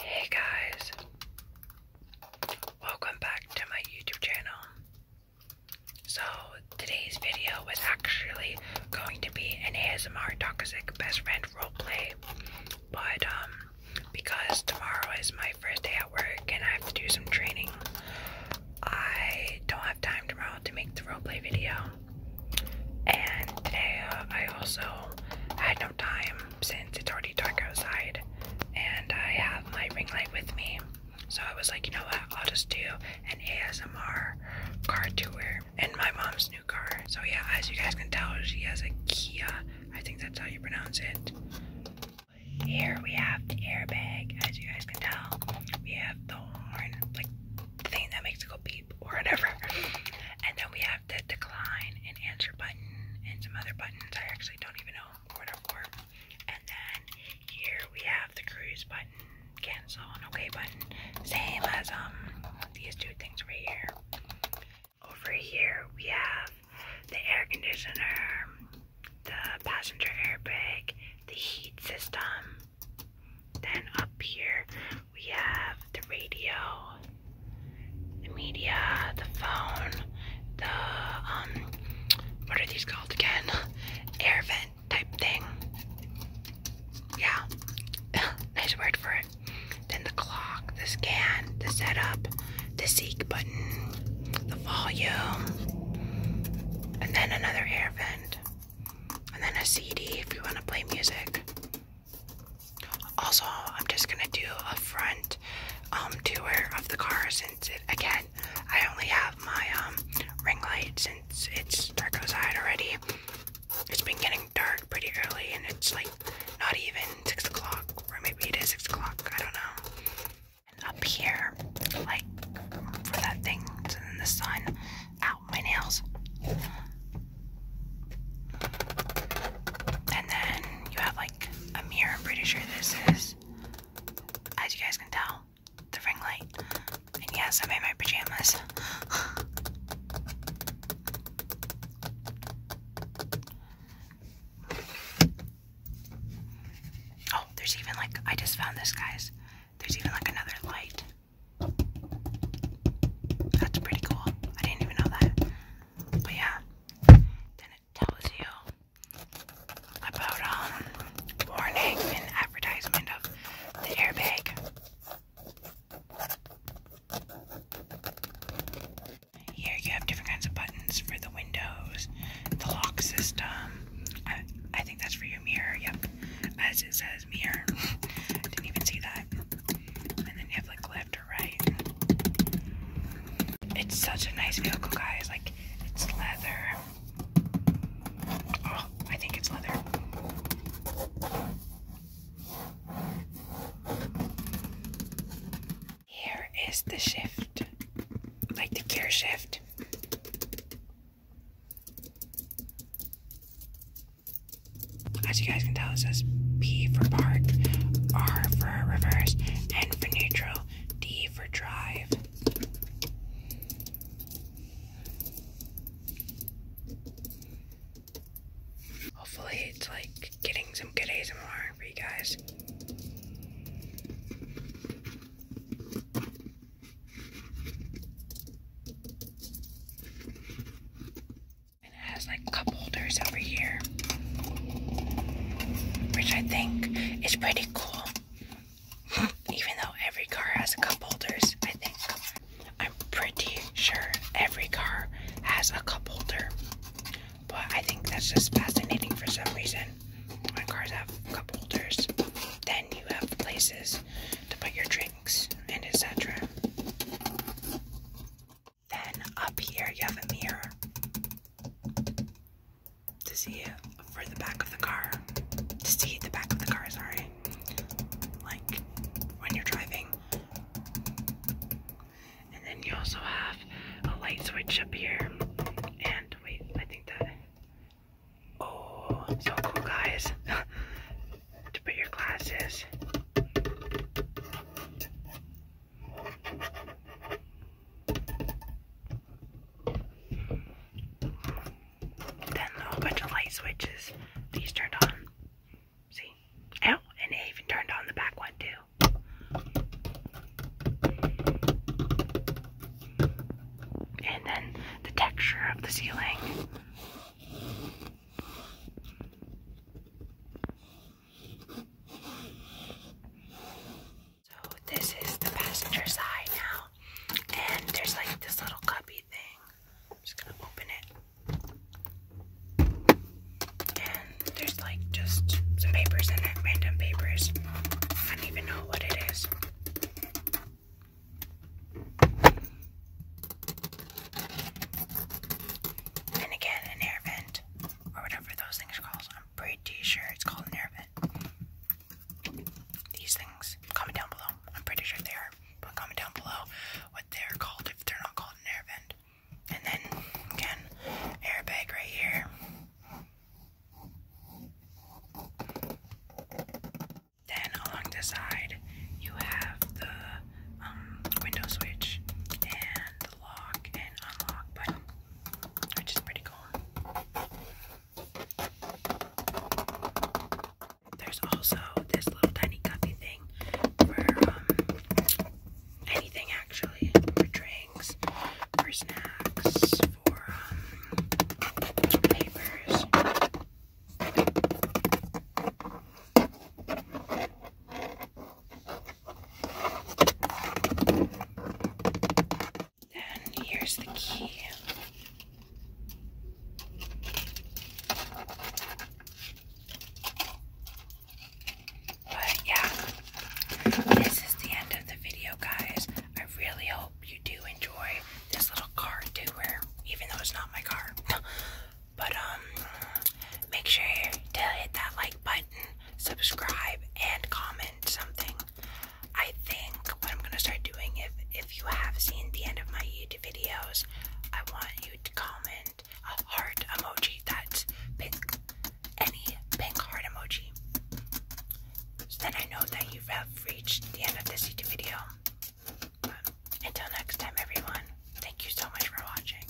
Hey guys, welcome back to my YouTube channel. So, today's video was actually going to be an ASMR Toxic Best Friend roleplay, but um, because tomorrow is my first day at work and I have to do some training, I don't have time tomorrow to make the roleplay video and today uh, I also had no time since it's already dark outside and I have my ring light with me. So I was like, you know what, I'll just do an ASMR car tour in my mom's new car. So yeah, as you guys can tell, she has a Kia. I think that's how you pronounce it. Here we have the airbag. As you guys can tell, we have the horn, thing that makes it go beep or whatever. And then we have the decline and answer button and some other buttons I actually don't even know what are for. And then here we have the cruise button, cancel and okay button. Same as um these two things right here. Over here we have the air conditioner, the passenger airbag, the heat system, then up here we have the radio, the media, the phone, the um, what are these called again? Air vent type thing. Yeah, nice word for it. Then the clock, the scan, the setup, the seek button, the volume, and then another air vent and then a CD if you want to play music. Also, I'm just gonna do a front um tour of the car since it again I only have my um ring light since it's dark outside already. It's been getting dark pretty early and it's like not even six o'clock or maybe it is six o'clock, I don't know and up here, like for that thing that's in the sun. out my nails. And then you have like a mirror. I'm pretty sure this is, as you guys can tell, the ring light. And yes, I am in my pajamas. Oh, there's even like, I just found this, guys. There's even like another light. That's pretty cool. I didn't even know that. But yeah, then it tells you about um warning and advertisement of the airbag. Here you have different kinds of buttons for the windows, the lock system. I, think that's for your mirror. Yep, as it says mirror. Didn't even see that. And then you have like left or right. It's such a nice vehicle, guys. Like it's leather. Oh, I think it's leather. Here is the shift, like the gear shift. As you guys can tell, it says P for park, R for reverse, N for neutral, D for drive. Hopefully, it's like getting some good ASMR for you guys. it has like cup holders over here, which I think is pretty cool. Even though every car has cup holders, I think. I'm pretty sure every car has a cup holder. But I think that's just fascinating for some reason. When cars have cup holders, then you have places to put your drinks and etc. Then up here you have a mirror to see for the back of the car. To see the back of the car, sorry. Like when you're driving. And then you also have a light switch up here. And wait, I think that. Oh, so cool, guys. to put your glasses. Then a bunch of light switches. These turned on. See? Oh, and they even turned on the back one too. And then the texture of the ceiling. So this is the passenger side now. And there's like this little cubby thing. I'm just gonna open it. And there's like just some papers in random papers. I don't even know what it is. And again, an air vent, or whatever those things are called. I'm pretty sure it's called an air vent these things? Comment down below. I'm pretty sure they are, but comment down below what they're called if they're not called an air vent. And then again, airbag right here. Then along the side, you have the um, window switch and the lock and unlock button, which is pretty cool. There's also this little tiny cuppy thing for um, anything actually for drinks, for snacks, for um, papers. And here's the key. But yeah, this is the end of the video, guys. I really hope you do enjoy this little car doer, even though it's not my car. but um, make sure to hit that like button subscribe, and comment something. I think what I'm gonna start doing if if you have seen the end of my YouTube videos, I want you to comment a heart emoji that's pink. Any pink heart emoji. So then I know that you have reached the end of this YouTube video. until next time everyone, thank you so much for watching.